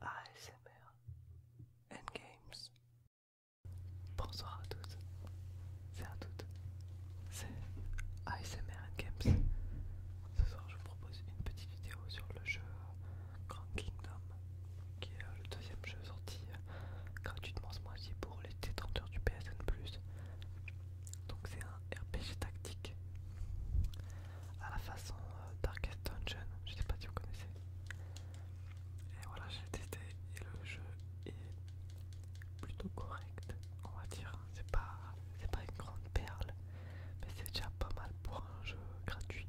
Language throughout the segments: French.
ASMR Endgames. Bonsoir à tous c'est à toutes, c'est ASMR Endgames. Ce soir, je vous propose une petite vidéo sur le jeu Grand Kingdom, qui est le deuxième jeu sorti euh, gratuitement ce mois-ci pour les détenteurs du PSN. Donc, c'est un RPG tactique à la façon euh, Darkest Dungeon, je sais pas si vous connaissez. Et voilà, j'ai testé et le jeu est plutôt correct, on va dire. C'est pas, pas une grande perle, mais c'est déjà pas mal pour un jeu gratuit.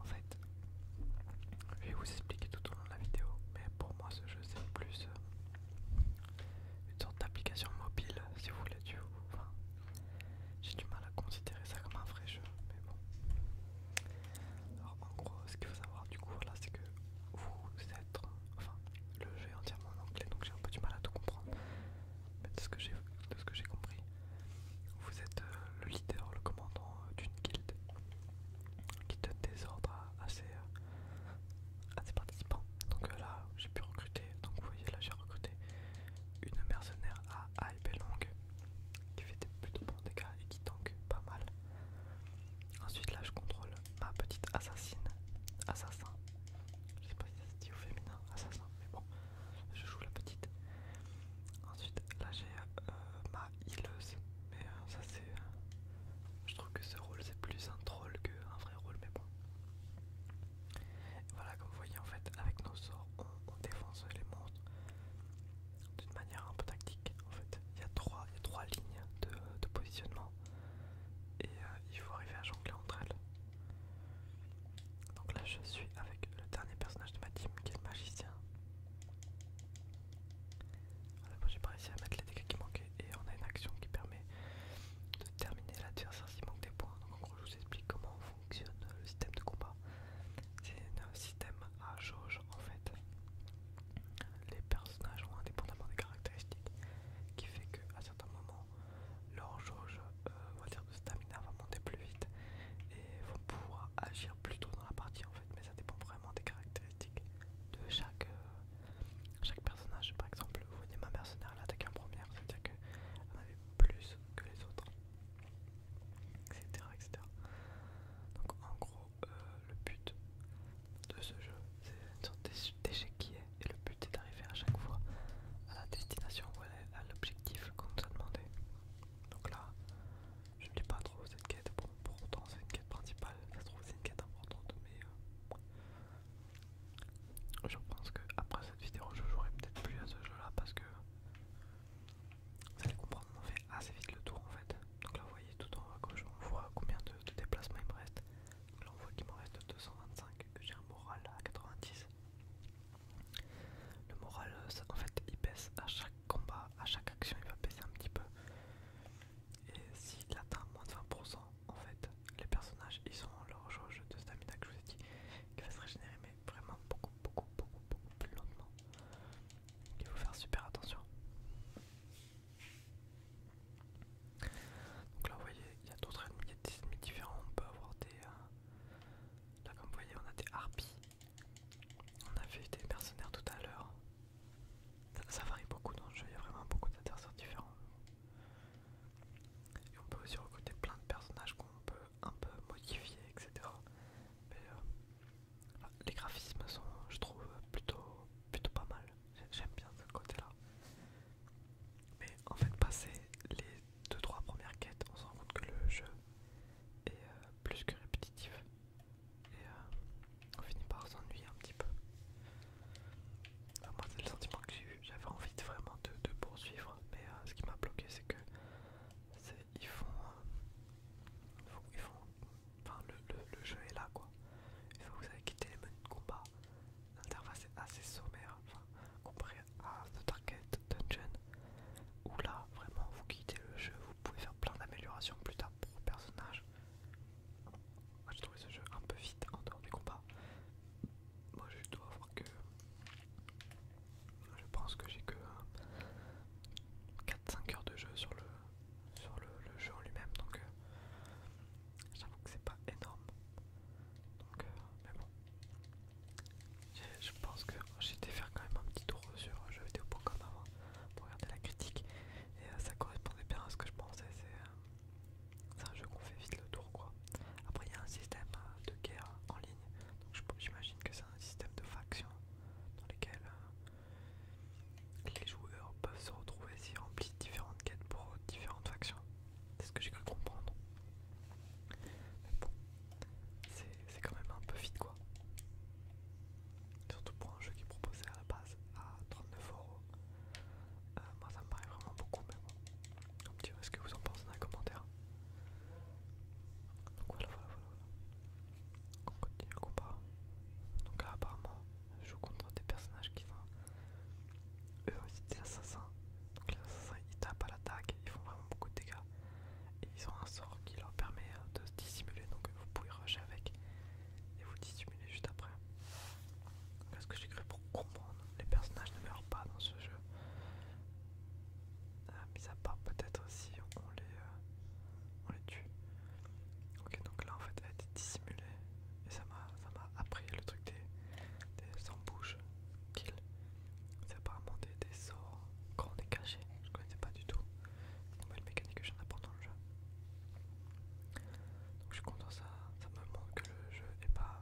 En fait, je vais vous expliquer tout au long de la vidéo, mais pour moi ce jeu c'est plus euh, une sorte d'application mobile, si vous voulez, du. enfin, j'ai du mal à considérer ça comme un vrai jeu, mais bon. Alors en gros, ce qu'il faut savoir du coup, là, c'est que vous êtes, enfin, le jeu est entièrement en anglais, donc j'ai un peu du mal à tout comprendre. Mais de ce que j'ai compris, vous êtes euh, le leader, le commandant euh, d'une guilde qui donne des ordres à, euh, ses, participants. Donc là, j'ai pu recruter, donc vous voyez, là j'ai recruté une mercenaire à à qui fait des plutôt bons dégâts et qui tank pas mal. Ensuite là je contrôle ma petite assassine, assassin, je sais pas si ça se dit au féminin, assassin, mais bon, je joue la petite. Ensuite là j'ai euh, ma healeuse, mais euh, ça c'est... Euh, je trouve que ce rôle c'est plus un troll qu'un vrai rôle, mais bon. Voilà, comme vous voyez, en fait, avec nos sorts, on, défonce les monstres d'une manière un peu tactique. En fait, il y a trois, il trois lignes de, positionnement et euh, il faut arriver à jongler entre elles. Donc là, je suis avec le dernier personnage de ma team qui est le magicien. Voilà, j'ai pas réussi à mettre les dégâts qui manquaient et on a une action qui permet de terminer l'adversaire s'il manque des points. Donc en gros, je vous explique comment le système de combat. C'est un système à jauge en fait. Les personnages ont indépendamment des caractéristiques qui fait qu'à certains moments leur jauge euh, va dire de stamina va monter plus vite et vont pouvoir agir plus tôt dans la partie en fait mais ça dépend vraiment des caractéristiques de chaque, euh, chaque personnage. Par exemple, vous voyez ma mercenaire elle attaqué en première, c'est-à-dire qu'elle en avait plus que les autres etc., Donc en gros, euh, le but de ce jeu, c'est une sorte d'échec qui est, et le but est d'arriver à chaque fois à la destination ou à l'objectif qu'on nous a demandé. Donc là, je ne dis pas trop cette quête, pour autant c'est une quête principale, ça se trouve c'est une quête importante, mais euh, je pense que après cette vidéo je jouerai peut-être plus à ce jeu là parce que vous allez comprendre, on fait assez vite le tour en fait. Donc là, vous voyez tout en haut gauche, on voit combien de, déplacements il me reste. Là, on voit qu'il me reste 225, que j'ai un moral à 90. Le moral, euh, en fait, il baisse à chaque combat, à chaque action, il va baisser un petit peu. Et s'il atteint moins de 20%, en fait, les personnages, ils sont en leur jauge de stamina que je vous ai dit, qui va se régénérer, mais vraiment beaucoup, beaucoup, beaucoup, beaucoup plus lentement. Il faut faire super attention. Donc là, vous voyez, il y a d'autres ennemis, des différents. On peut avoir des. Euh, là, comme vous voyez, on a des harpies. On a vu des mercenaires tout à l'heure. Ça, ça varie beaucoup dans le jeu, il y a vraiment beaucoup d'adversaires différents. Et on peut aussi recruter plein de personnages qu'on peut un peu modifié, etc. Mais euh, les graphismes sont, je trouve, plutôt, plutôt pas mal. J'aime bien ce côté-là. Mais en fait, passé les 2-3 premières quêtes, on se rend compte que le jeu est euh, plus que répétitif. Et euh, on finit par s'ennuyer un petit peu. moi, c'est le sentiment que j'ai eu. J'avais envie de, vraiment de, poursuivre, mais ce qui m'a bloqué, c'est que ils ils font, euh, le, jeu est là quoi. il faut que vous avez quitté les menus de combat, l'interface est assez sommaire, comparé à The Target Dungeon, où là vraiment vous quittez le jeu, vous pouvez faire plein d'améliorations plus tard pour vos personnages. Moi j'ai trouvé ce jeu un peu vite en dehors du combat Moi je dois voir que je pense que j'ai que 4-5 euh, heures de jeu sur le, sur le, jeu en lui-même, donc euh, j'avoue que c'est pas énorme. Donc, euh, mais bon, je pense que j'ai été faire quand même un petit tour sur comme avant pour regarder la critique et ça correspondait bien à ce que je pensais. C'est un jeu qu'on fait vite le tour, quoi. Après, il y a un système de guerre en ligne, donc j'imagine que c'est un système de factions dans lesquelles euh, les joueurs peuvent se retrouver remplis remplissent différentes quêtes pour différentes factions. C'est ce que j'ai cru comprendre. Mais bon, c'est quand même un peu vite quoi. Surtout pour un jeu qui est proposé à la base à 39 euros. Euh, moi ça me paraît vraiment beaucoup, mais bon. Donc, est-ce que vous en pensez dans les commentaires donc voilà, voilà, voilà. voilà. On continue le combat. Donc là, apparemment, je joue contre des personnages qui sont eux aussi des assassins. Donc les assassins ils tapent à l'attaque, ils font vraiment beaucoup de dégâts. Et ils ont un sort qui leur permet euh, de se dissimuler, donc euh, vous pouvez rusher avec et vous dissimuler juste après. ce que j'ai créé pour comprendre, les personnages ne meurent pas dans ce jeu. Ah, mis à part peut-être si on les, euh, on tue. Ok, donc là en fait elle été dissimulée. Et ça m'a appris le truc des, des bouge kill C'est apparemment des, des sorts quand on est caché. Je connaissais pas du tout. Nouvelle mécanique que j'en apprends dans le jeu. Donc je suis content, ça, ça me montre que le jeu est pas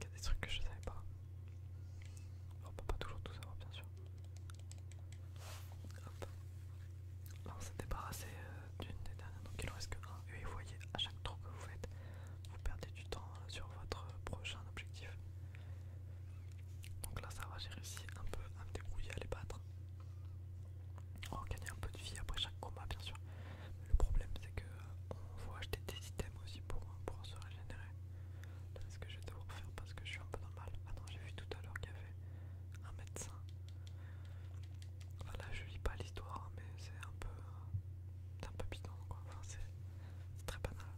il y a des trucs que je ne savais pas. On ne peut pas toujours tout savoir, bien sûr. Hop. Là, on s'est débarrassé d'une des dernières, donc il en reste que un. Et vous voyez, à chaque tour que vous faites, vous perdez du temps euh, sur votre prochain objectif. Donc là, ça va, j'ai réussi un peu à me débrouiller, à les battre. On va gagner un peu de vie après chaque combat, bien sûr. le problème, c'est que on euh, faut acheter des items aussi pour, euh, se régénérer. est ce que je vais devoir faire parce que je suis un peu normal. mal. Ah non, j'ai vu tout à l'heure qu'il y avait un médecin. Voilà, je lis pas l'histoire, mais c'est un peu. Euh, c'est un peu bidon quoi. Enfin, c'est très banal.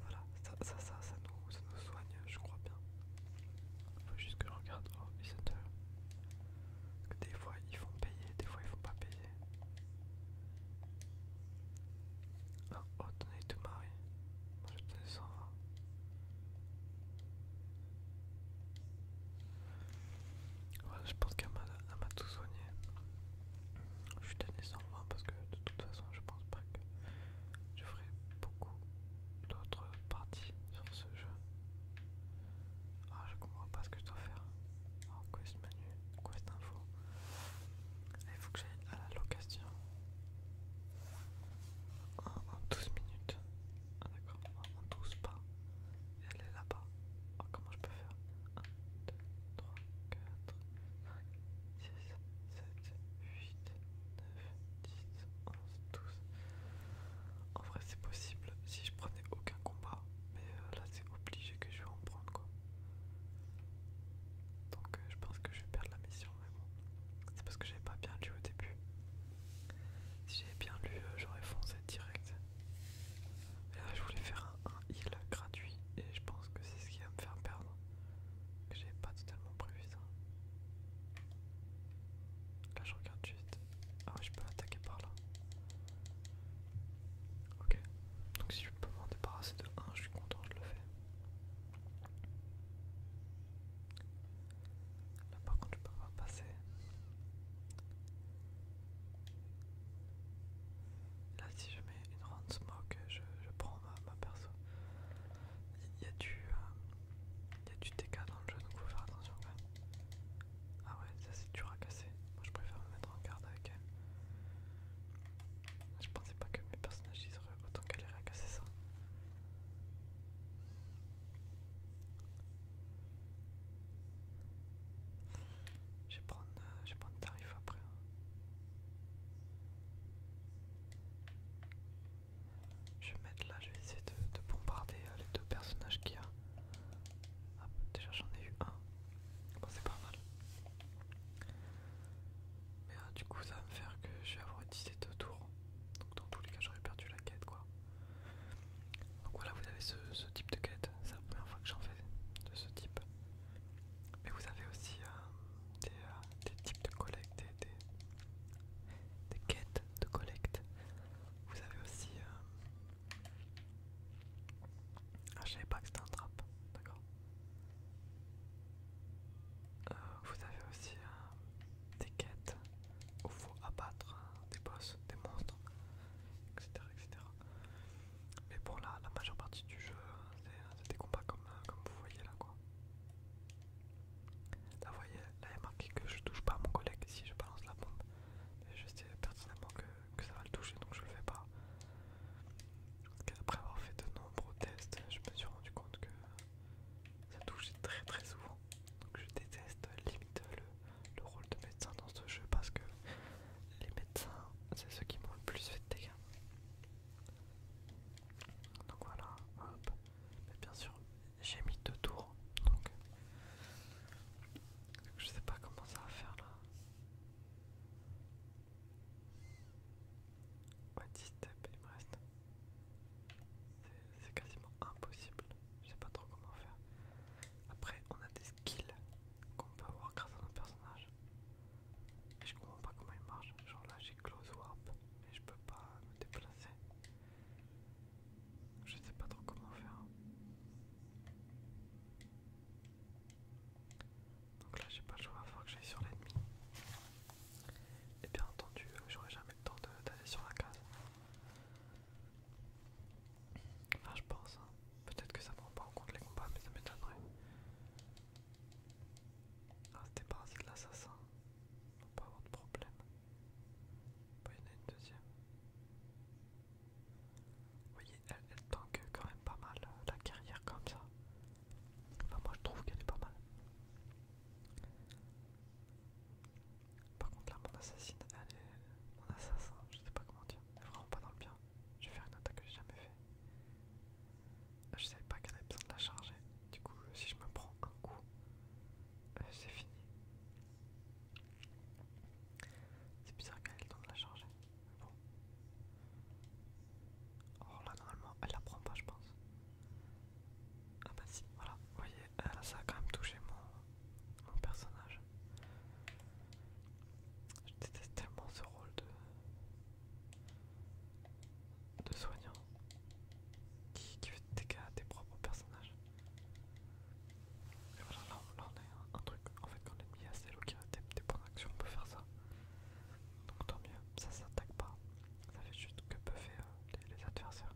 Voilà, ça, ça, nous, soigne, je crois bien. Il Faut juste que je regarde. Oh, Des fois ils font payer, des fois ils font pas payer. Ah, oh, oh tout marié. Moi je tenais 120. Voilà, je pense qu'elle m'a tout soigné. Je suis 120 parce que de toute façon, je pense pas que je ferai beaucoup d'autres parties sur ce jeu. Ah, je comprends pas ce que je dois faire. Ah, quest menu, Il faut que j'aille à la location. En, 12 minutes. Ah, d'accord, en 12 pas. Et elle est là-bas. Oh, comment je peux faire 1, 2, 3, 4, 5, 6, 7, 8, 9, 10, 11, 12. En vrai c'est possible si je prenais aucun combat. Mais euh, là là obligé que je vais en prendre quoi. Donc euh, je pense que je vais perdre la mission, mais C'est parce que j'ai pas bien lu au début. Si j'avais bien lu, euh, j'aurais foncé direct. là, je voulais faire un, heal gratuit et je pense que c'est ce qui va me faire perdre. J'ai pas totalement prévu ça. Là, je regarde juste. Ah, ouais, je peux attaquer par là. Ok, donc si je peux m'en débarrasser de 1, je suis content, je le fais. Là par contre, je peux pas passer. Là, si je mets une round smoke, je, prends ma, perso. Il y, a du. y a du euh, TK dans le jeu, donc faut faire attention quand Ah ouais, ça c'est dur à casser. Moi je préfère me mettre regarde Je pensais pas que mes personnages ils auraient autant galéré à casser ça. Je vais prendre, euh, je tarif après. Hein. Je vais mettre là, je vais essayer de, bombarder euh, les deux personnages qu'il y a. Ah, déjà j'en ai eu un. Bon, c'est pas mal. Mais euh, du coup, ça va me faire que je vais avoir utilisé deux tours. Donc, dans tous les cas, j'aurais perdu la quête quoi. Donc, voilà, vous avez ce, type de quête. C'est la première fois que j'en fais de ce type. Mais vous avez aussi euh, euh, des, types de collecte, des, des, quêtes de collecte. Vous avez aussi ah, je savais pas que c'était un trap, d'accord. Euh, vous avez aussi euh, des quêtes où faut abattre hein, des boss, des monstres, etc. Mais bon, là, la majeure partie du jeu, hein, hein, c'est des combats comme, euh, comme vous voyez là, quoi. Là, vous voyez, là, il marqué que je touche pas à mon collègue si je balance la bombe. je sais pertinemment que que ça va le toucher donc je le fais pas. Après avoir fait de nombreux tests, je me suis rendu compte que ça touche très très souvent. Donc je déteste limite le, rôle de médecin dans ce jeu parce que les médecins, c'est ceux qui m'ont le plus fait de dégâts. Donc voilà, hop. bien sûr, j'ai mis deux tours. donc je sais pas comment ça va faire là. 10 steps il me reste. C'est quasiment impossible. Je sais pas trop comment faire. Après, on a des skills qu'on peut avoir grâce à nos personnage. Et je comprends pas comment il marche. Genre là, j'ai close warp, mais je peux pas me déplacer. Je sais pas trop comment faire. Donc là j'ai pas le choix, il faut que j'aille sur l'ennemi. Et bien entendu, euh, j'aurai jamais le temps d'aller sur la case. Enfin je pense, hein. peut-être que ça prend pas en compte les combats, mais ça m'étonnerait. Ah c'était de l'assassin, on peut pas avoir de problème. il y en a une deuxième. Vous voyez, elle, tank quand même pas mal euh, la carrière comme ça. Enfin, moi je trouve qu'elle est pas mal. Par contre, là, mon elle assassin, je sais pas comment dire. Elle est vraiment pas dans le bien. Je vais faire une attaque que j'ai jamais fait. Je savais pas qu'elle avait besoin de la charger. Du coup, euh, si je me prends un coup, euh, c'est fini. C'est bizarre qu'elle ait le temps de la charger. Non. Oh, Alors là, normalement, elle la prend pas, je pense. Ah bah si, voilà. Vous voyez, ça a quand même touché mon, mon personnage. Je déteste tellement ce rôle de, soignant qui, fait des à tes propres personnages. Et voilà, là, on un, truc. En fait, quand l'ennemi celle ses qui des points d'action, on peut faire ça. Donc tant mieux, ça s'attaque pas. Ça fait juste que buffer faire euh, les, adversaires.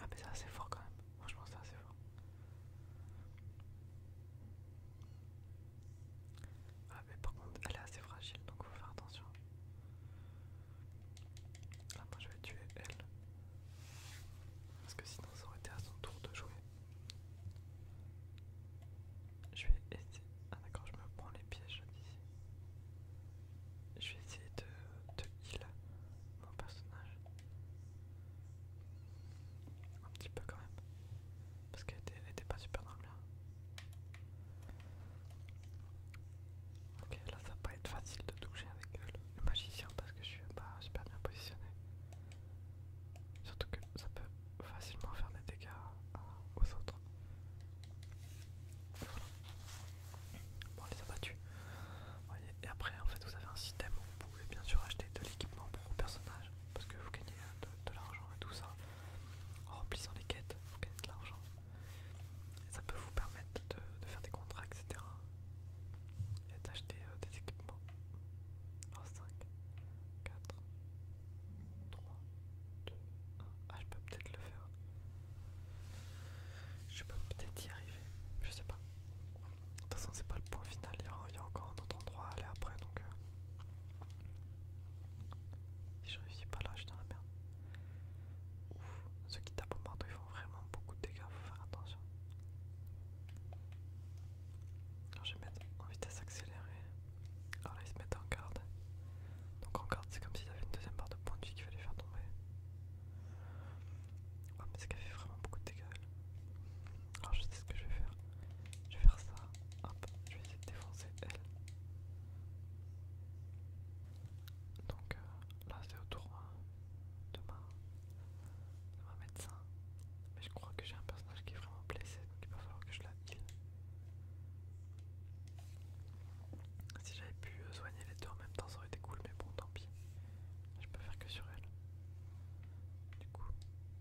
Ah, mais c'est assez fort quand même. Franchement, c'est assez fort. Ah, mais par contre, elle est assez fragile donc faut faire attention. Là, ah, moi je vais tuer elle. Parce que sinon, ça aurait été à son tour de jouer. Je vais essayer. Ah d'accord, je me prends les pièges d'ici. Je vais essayer de, de heal mon personnage. Un petit peu quand même. Parce qu'elle était, pas super dans bien. Ok, là ça va pas être facile de toucher avec euh, le magicien parce que je suis pas super bien positionné. Surtout que ça peut facilement faire des dégâts aux autres. Voilà. Bon, on les a battus. Et après, en fait, vous avez un système où vous pouvez bien sûr acheter de l'équipement pour vos personnages. Parce que vous gagnez euh, de, l'argent et tout ça. En remplissant les quêtes, vous gagnez de l'argent. Et ça peut vous permettre de, faire des contrats, etc. Et d'acheter euh, des équipements. 5, 4, 3, 2, 1. Ah, je peux peut-être le faire. Je peux peut-être y arriver. Je sais pas. De toute façon, c'est pas le point final. Il y, a, encore un autre endroit à aller après. Donc, euh. si je réussis pas là, je suis dans la merde. Ouf, ceux qui tapent au marteau, ils font vraiment beaucoup de dégâts. Faut faire attention. Alors, je vais mettre en vitesse accélérée. Alors là, ils se mettent en garde. Donc en garde, c'est comme s'ils avait une deuxième barre de point de vie qu'il fallait faire tomber. Oh, mais ce fait vraiment beaucoup de dégâts. Alors, je sais ce que je vais faire. Je vais faire ça. Hop, je vais essayer de défoncer elle. Donc euh, là, c'est autour de ma, de mais je crois que j'ai un personnage qui est vraiment blessé, donc il va falloir que je la heal. Si j'avais pu euh, soigner les deux en même temps, ça aurait été cool, mais bon, tant pis. Je peux faire que sur elle. Du coup,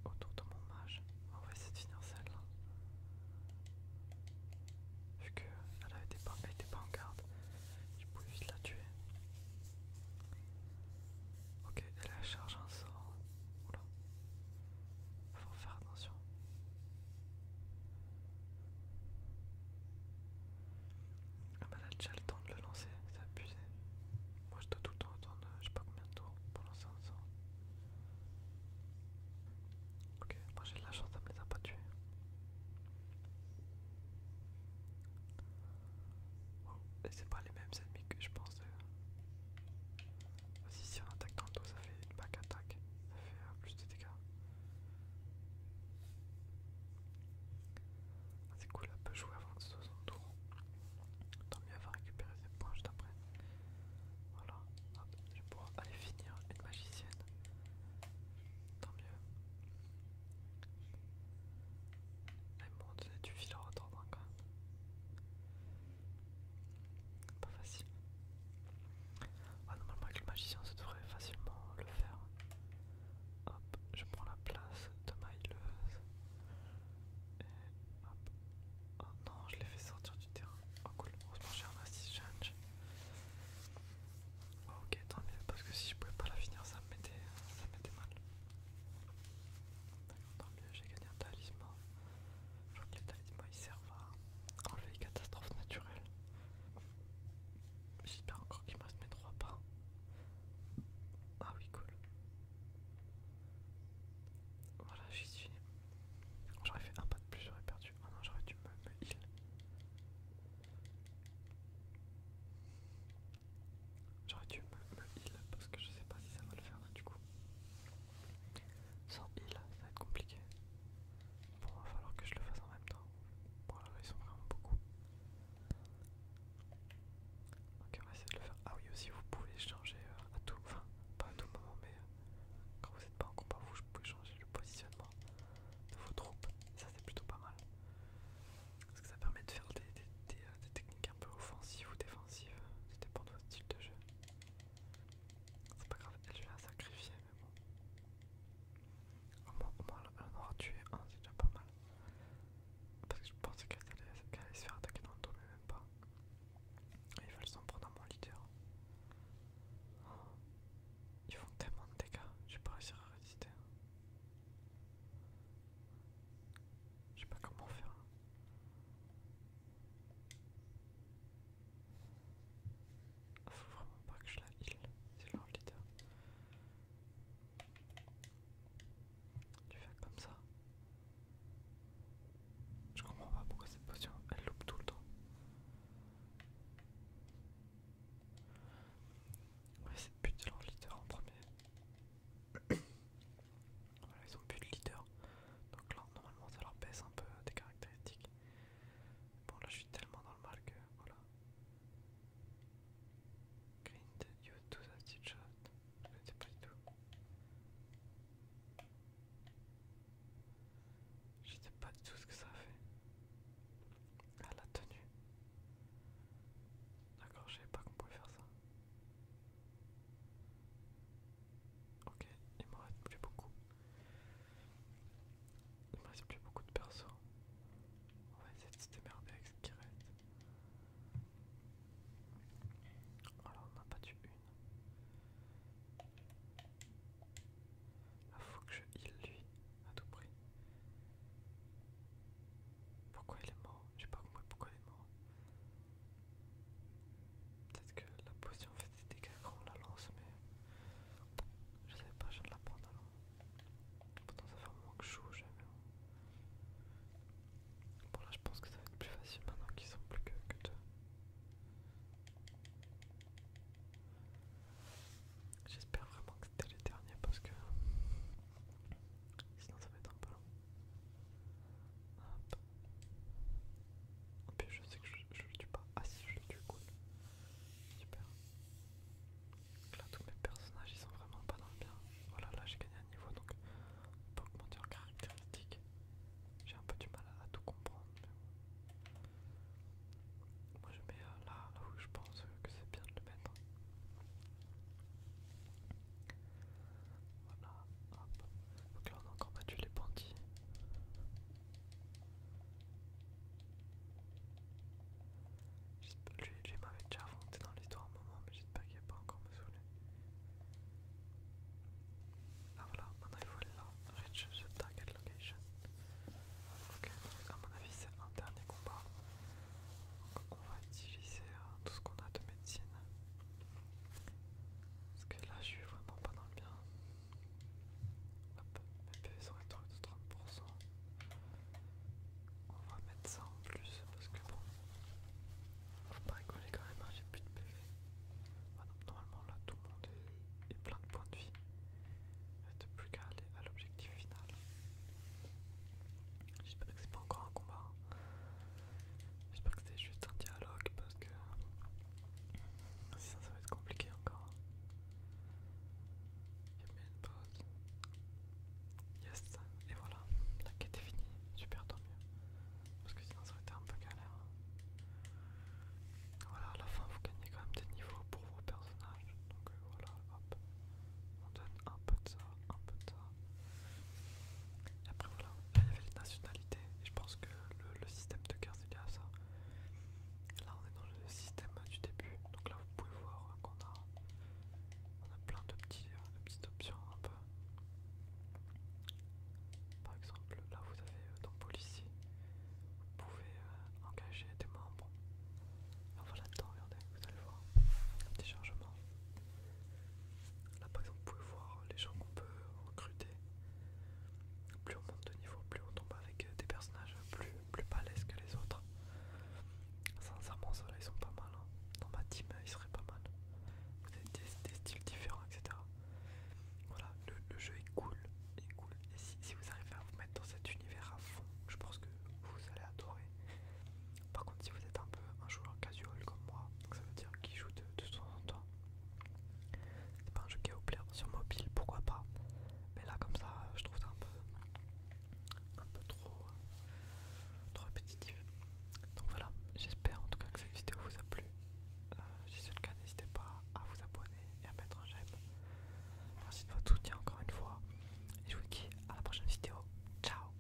autour de mon mage, on va essayer de finir celle-là. Vu qu'elle n'était pas en garde, je pouvais vite la tuer. Ok, elle a charge en sort. Oula. Faut faire attention. Ah bah elle a déjà le temps de le lancer, c'est abusé. Moi je dois tout le temps attendre, euh, je sais pas combien de temps pour lancer un sort. Ok, moi j'ai de la chance, ça me les pas tués et c'est pas les mêmes ennemis que je pense. si on attaque dans ça fait une back attaque. Ça fait euh, plus de dégâts. Ah, c'est cool, elle peut jouer avant de ce soit son tour. Tant mieux, elle va récupérer ses points juste après. Voilà, hop, je vais pouvoir aller finir une magicienne. Tant mieux bon, tu fil le retordre dans quand même. Pas facile. Ah, normalement, avec le magicien, ça devrait facilement le faire. Hop, je prends la place de ma Et hop. Oh non, je l'ai fait sortir du terrain. Oh cool, heureusement j'ai un assist Change. Oh, ok, tant mieux, parce que si je pouvais pas la finir, ça me mettait, ça me mettait mal. Tant mieux, j'ai gagné un talisman. Je crois que les talismans servent à enlever les catastrophes naturelles. J'espère encore qu'il me reste mes trois pas. Ah oui, cool. Voilà, j'y suis. J'aurais fait un pas de plus, j'aurais perdu. Ah non, j'aurais dû me, me heal. J'aurais dû me, heal parce que je sais pas si ça va le faire du coup. Sans heal, ça va être compliqué. Bon, il va falloir que je le fasse en même temps. Bon bon, ils sont vraiment beaucoup. Ok, on va essayer de le faire. Ah oui, aussi, vous pouvez changer euh, à tout, enfin, pas à tout moment, mais euh, quand vous n'êtes pas en combat, vous, vous pouvez changer le positionnement de vos troupes. Ça, c'est plutôt pas mal. Parce que ça permet de faire des, euh, techniques un peu offensives ou défensives, ça dépend de votre style de jeu. C'est pas grave, elle je la sacrifier, mais bon. Au moins, elle en aura tué un, c'est déjà pas mal. Parce que je pensais qu'elle allait, se faire attaquer dans le dos, mais même pas. Ils veulent s'en prendre à mon leader. Ils font tellement de dégâts, je vais pas réussir à résister. Je sais pas comment faire. Faut vraiment pas que je la heal, c'est leur leader. Tu fais comme ça. Je comprends pas pourquoi cette potion elle loupe tout le temps. Ouais, c'est putain de leur leader en premier ils ont plus de leader. Donc là, normalement, ça leur baisse un peu des caractéristiques. Bon, là, je suis tellement dans le mal que voilà. Green, you do that shot. sais pas du tout. Je sais pas du tout ce que ça fait. Ah, la tenue. D'accord, je savais pas qu'on pouvait faire ça. Ok, il me reste plus beaucoup. Il me reste plus beaucoup de perso. On va essayer de se démerder avec ce Alors on n'a pas tué une. il faut que je heal lui à tout prix. Pourquoi il est mort J'ai pas compris pourquoi il est mort. Peut-être que la potion fait des dégâts quand on la lance, mais je savais pas, je ne la prends alors. Pourtant, ça fait que je Bon, là, je pense que ça va être plus facile maintenant qu'ils sont plus que, que deux. J'espère vraiment que c'était les derniers parce que sinon ça va être un peu long je sais que je, le tue pas. Ah si, je le tue, cool. Super. là, tous mes personnages, ils sont vraiment pas dans le bien. Voilà, oh là, j'ai gagné un niveau, donc augmenter en caractéristiques. J'ai un peu du mal à, tout comprendre. Moi, je mets euh, là, là où je pense euh, que c'est bien de le mettre. Voilà, hop. Donc là on a encore battu les bandits. Lui, lui m'avait déjà affronté dans l'histoire un moment, mais j'espère qu'il a pas encore me saouler. Ah voilà, maintenant il faut aller là. Reach the target location. Ok, à mon avis c'est un dernier combat on va utiliser hein, tout ce qu'on a de médecine. Parce que là, je suis vraiment pas dans le bien. Hop, mes PV sont retournés de 30%. On va mettre ça en plus parce que bon, faut pas rigoler quand même, hein, j'ai plus de PV. normalement, là, tout le monde est, plein de points de vie. Il n'y plus qu'à aller à l'objectif final. J'espère que c'est pas encore un combat. Hein. J'espère que c'était juste un dialogue parce que sinon ça va être compliqué encore. Hein. Il y a une pause. Yes, et voilà, la quête est finie. Super, tant mieux. Parce que sinon ça aurait été un peu galère. Hein. Voilà, à la fin vous gagnez quand même des niveaux pour vos personnages. Donc euh, voilà, hop. On donne un peu de ça, un peu de ça, après voilà, là il y avait les nationalités et je pense que le, système de guerre c'est bien ça. Là on est dans le système du début, donc là vous pouvez voir qu'on a, on a plein de, euh, petites options un peu. Par exemple là vous avez euh, dans policier, vous pouvez euh, engager des membres. enfin là dedans, regardez, vous allez voir, un petit changement. Là par exemple, vous pouvez voir les gens qu'on peut recruter. Plus on monte de niveau, plus on tombe avec euh, des personnages plus, plus que les autres. Sincèrement, ceux-là ils sont pas mal. Hein. Dans ma team, ils seraient pas mal. Vous avez des, styles différents, etc. Voilà, le, jeu est cool. Et si vous arrivez à vous mettre dans cet univers à fond, je pense que vous allez adorer. Par contre, si vous êtes un peu un joueur casual comme moi, ça veut dire qu'il joue de, temps en temps, c'est pas un jeu qui va au plaire sur mobile, pourquoi pas. Mais là, comme ça, je trouve ça un peu, un peu trop, euh, trop répétitif. Donc voilà, j'espère en tout cas que cette vidéo vous a plu. Euh, si c'est le cas, n'hésitez pas à vous abonner et à mettre un j'aime. Merci de votre soutien encore une fois. Et je vous dis à la prochaine vidéo. Ciao